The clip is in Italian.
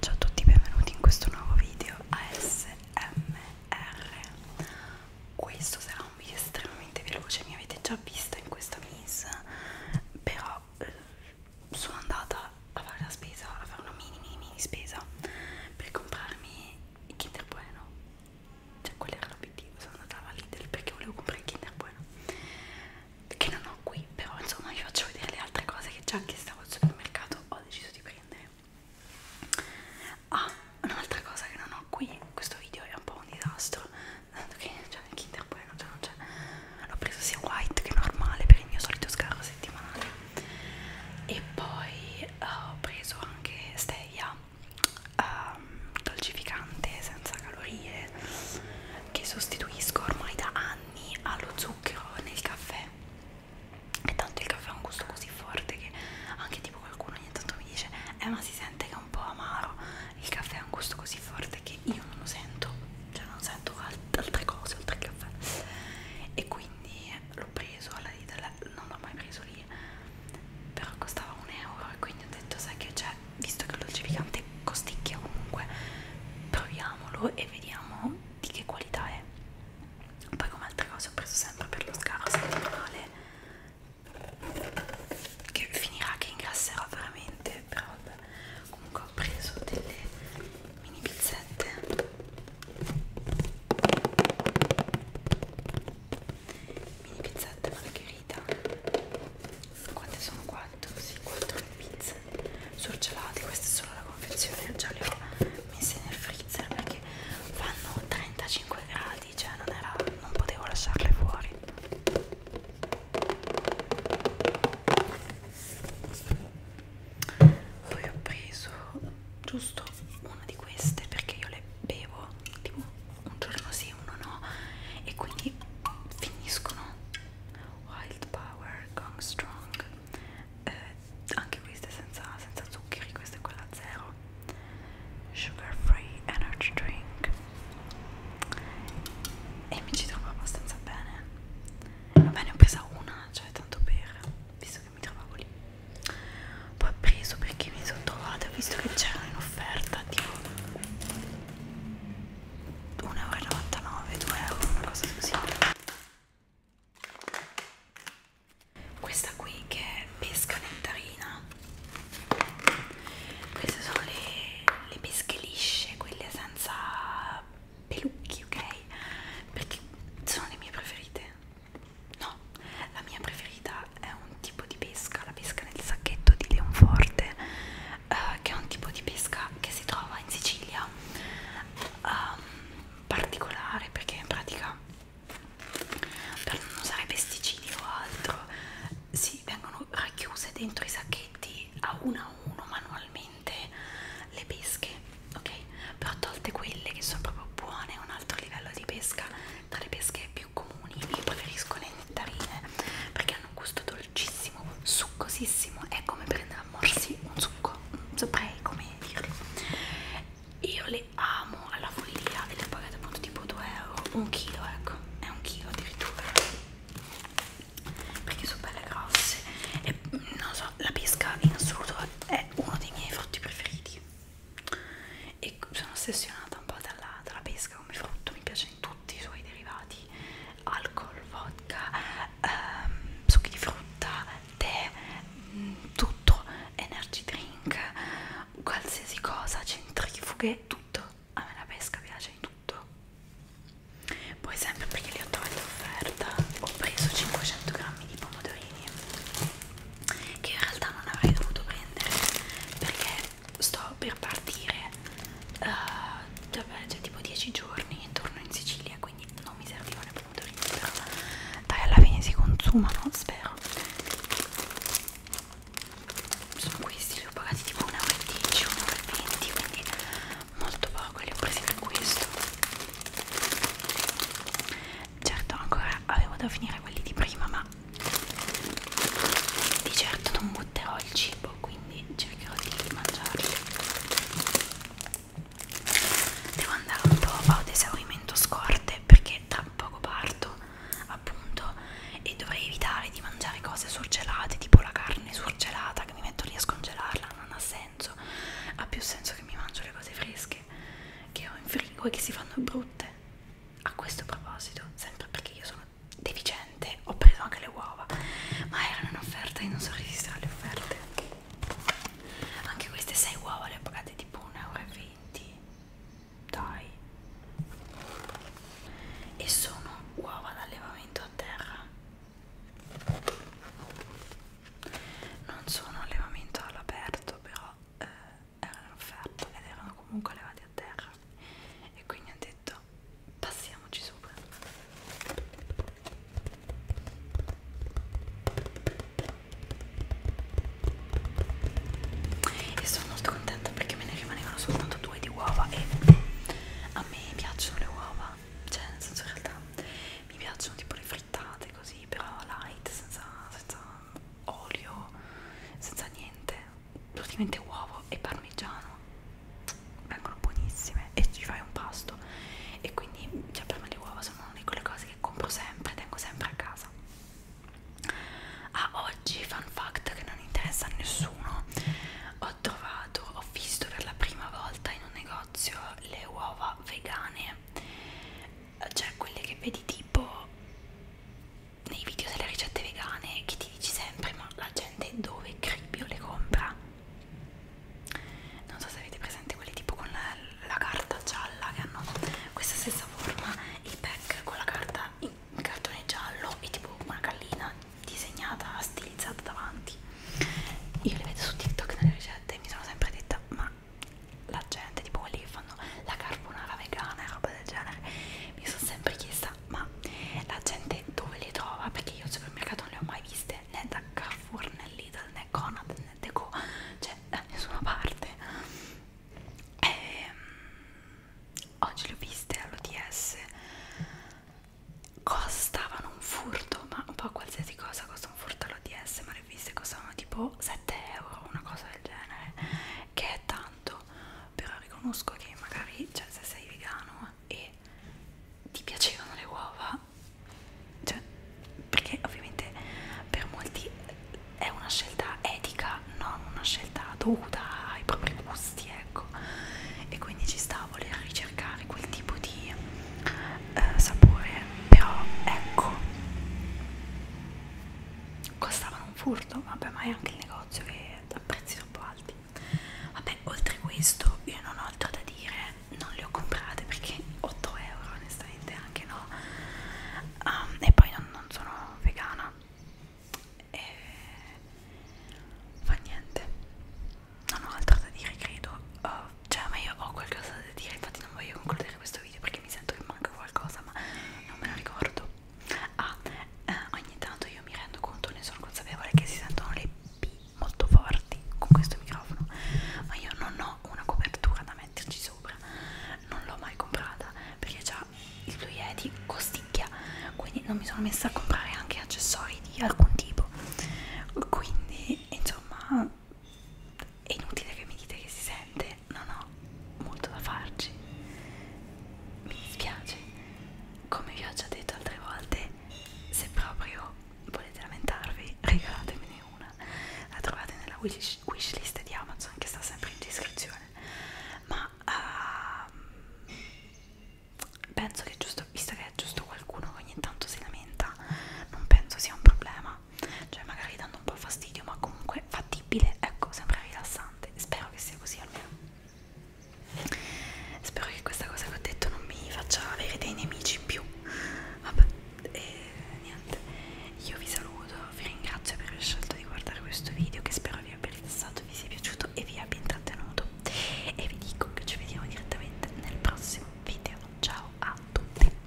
Ciao a tutti, benvenuti in questo nuovo video ASMR. Questo sarà un video estremamente veloce, mi avete già visto in questa miss, però eh, sono andata a fare la spesa, a fare una mini mini mini spesa per comprarmi il Kinder Bueno. Cioè, quello era l'obiettivo, sono andata alla Lidl perché volevo comprare il Kinder Bueno che non ho qui però insomma vi faccio vedere le altre cose che già anche stavo al supermercato ho deciso di prendere ah un'altra cosa che non ho qui questo video è un po' un disastro tanto che cioè il Kinder Bueno cioè non c'è l'ho preso sia white che normale per il mio solito scarro settimanale e poi eh, ho preso anche stevia um, dolcificante senza calorie che sostituisco ormai da anni anni allo zucchero nel caffè e tanto il caffè ha un gusto così forte che anche tipo qualcuno ogni tanto mi dice eh ma si sente che è un po' amaro il caffè ha un gusto così forte che io non lo sento cioè non sento alt altre cose oltre al caffè e quindi l'ho preso alla Lidl non l'ho mai preso lì però costava un euro e quindi ho detto sai che c'è cioè visto che il dolcificante costicchia comunque proviamolo e vediamo di che qualità è poi come altre cose ho preso sempre per lo scarso settimanale che finirà che ingrasserò veramente però vabbè. comunque ho preso delle mini pizzette mini pizzette margherita quante sono? 4, sì, 4 le pizze surgelate, questa è solo la confezione, già le ho messe nel freezer perché fanno 35 gradi, cioè non, era, non potevo lasciarle fuori. Poi ho preso giusto una di queste perché io le bevo tipo un giorno sì, uno no e quindi finiscono Wild Power Gong Strong eh, anche queste senza, senza zuccheri questa è quella zero Sugar Free Energy Drink e mi ci trovo abbastanza bene vabbè ne ho presa una cioè tanto per visto che mi trovavo lì poi ho preso perché mi sono trovata ho visto che c'erano in offerta tipo 1,99 2 euro una cosa così questa qui che è pesca nettarina queste sono le, le pesche lisce quelle senza pelucchi ok perché sono le mie preferite no la mia preferita è un tipo di pesca la pesca nel sacchetto di Leonforte, eh, che è un tipo di pesca che si trova in Sicilia, um, particolare perché in pratica per non usare pesticidi o altro, si vengono racchiuse dentro i sacchetti a uno a uno manualmente le pesche, ok? Però tolte quelle che sono proprio buone, un altro livello di pesca, tra le pesche più comuni, io preferisco le tarine perché hanno un gusto dolcissimo, succosissimo, è come prendere a morsi un succo, un spray come dirlo. Io le amo alla follia e le pagate appunto tipo 2 euro, un chilo ecco, è un chilo addirittura perché sono belle grosse e non so, la pesca in assoluto è uno dei miei frutti preferiti e sono ossessionata un po' dalla, dalla pesca come frutto mi piacciono tutti i suoi derivati alcol, vodka, ehm, succhi di frutta, tè, mh, mm, tutto, energy drink, qualsiasi cosa, centrifughe, tutto, a me la pesca piace in tutto poi sempre perché li ho trovati in offerta ho preso 500 grammi di pomodorini che in realtà non avrei dovuto prendere perché sto per partire uh, eh, da, cioè, tipo 10 giorni e torno in Sicilia quindi non mi servivano i pomodori però dai alla fine si consumano spero sono questi li ho pagati tipo 1,10 1,20 quindi molto poco li ho presi per questo certo ancora avevo da finire quelli di prima ma di certo non butterò il cibo, quindi cercherò di mangiarlo. Devo andare un po' ad esaurimento scorte perché tra poco parto, appunto, e dovrei evitare di mangiare cose surgelate, tipo la carne surgelata che mi metto lì a scongelarla, non ha senso. Ha più senso che mi mangio le cose fresche che ho in frigo e che si fanno brutte. A questo proposito, sempre perché io sono deficiente ho preso anche le uova ma erano in offerta e non so resistere alle offerte anche queste 6 uova le ho pagate tipo 1,20 euro dai e sono uova d'allevamento a terra non sono allevamento all'aperto però eh, erano offerte ed erano comunque allevati a terra e quindi ho detto passiamoci sopra e sono molto contenta perché me ne rimanevano soltanto due di uova e a me piacciono le uova cioè nel senso in realtà mi piacciono tipo le frittate così però light senza, senza olio senza niente praticamente uovo e parmigiano vengono buonissime e ci fai un pasto e quindi cioè per me le uova sono una di quelle cose che compro sempre tengo sempre a casa ah oggi fun fact che non interessa a nessuno ho trovato ho visto per la prima volta in un negozio le uova vegane cioè quelle che vedi tipo nei video delle ricette vegane che ti dici sempre ma la gente dove cribbio le compra non so se avete presente quelli tipo con la, la carta gialla che hanno questa stessa forma il pack con la carta in, in cartone giallo e tipo una gallina disegnata stilizzata davanti io le vedo su tiktok nelle ricette e mi sono sempre detta ma la gente tipo quelli che fanno fanno la carbonara vegana e roba del genere mi sono sempre chiesta ma la gente dove le trova perché io al supermercato non le ho mai viste né da Carrefour né Lidl né Conad né Deco cioè da nessuna parte ehm, oggi le ho viste all'OTS costavano un furto ma un po' qualsiasi cosa costa un furto all'OTS ma le ho viste costavano tipo 7 euro una cosa del genere che è tanto però riconosco che magari cioè, se sei vegano e ti piacevano le uova, cioè, perché ovviamente per molti è una scelta etica, non una scelta dovuta ai propri gusti, ecco, e quindi ci sta a voler ricercare quel tipo di eh, sapore, però ecco costavano un furto vabbè ma è anche il negozio che a prezzi troppo alti vabbè oltre questo io non ho altro da dire non le ho comprate perché 8 euro onestamente anche no um, e poi non, non sono vegana e fa niente non ho altro da dire credo uh, cioè ma io ho qualcosa da dire infatti non voglio concludere questo video perché mi sento che manca qualcosa ma non me lo ricordo Ah, eh, ogni tanto io mi rendo conto, ne sono consapevole che si sentono le P molto forti con questo microfono, ma io non ho una copertura da metterci sopra, non l'ho mai comprata perché già il Blue Yeti costicchia, quindi non mi sono messa a comprare anche accessori di alcun tipo. Quindi, insomma, è inutile che mi dite che si sente che non ho molto da farci. Mi dispiace, come vi ho già detto altre volte, se proprio volete lamentarvi, regalatemene una. La trovate nella wish, wish list di Amazon che sta sempre in descrizione. Ma uh, penso che giusto, visto che è giusto qualcuno che ogni tanto si lamenta, non penso sia un problema. Cioè magari da dando un po' fastidio ma comunque fattibile ecco sembra rilassante spero che sia così almeno spero che questa cosa che ho detto non mi faccia avere dei nemici in più vabbè e eh, niente io vi saluto vi ringrazio per aver scelto di guardare questo video che spero vi abbia rilassato vi sia piaciuto e vi abbia intrattenuto e vi dico che ci vediamo direttamente nel prossimo video ciao a tutti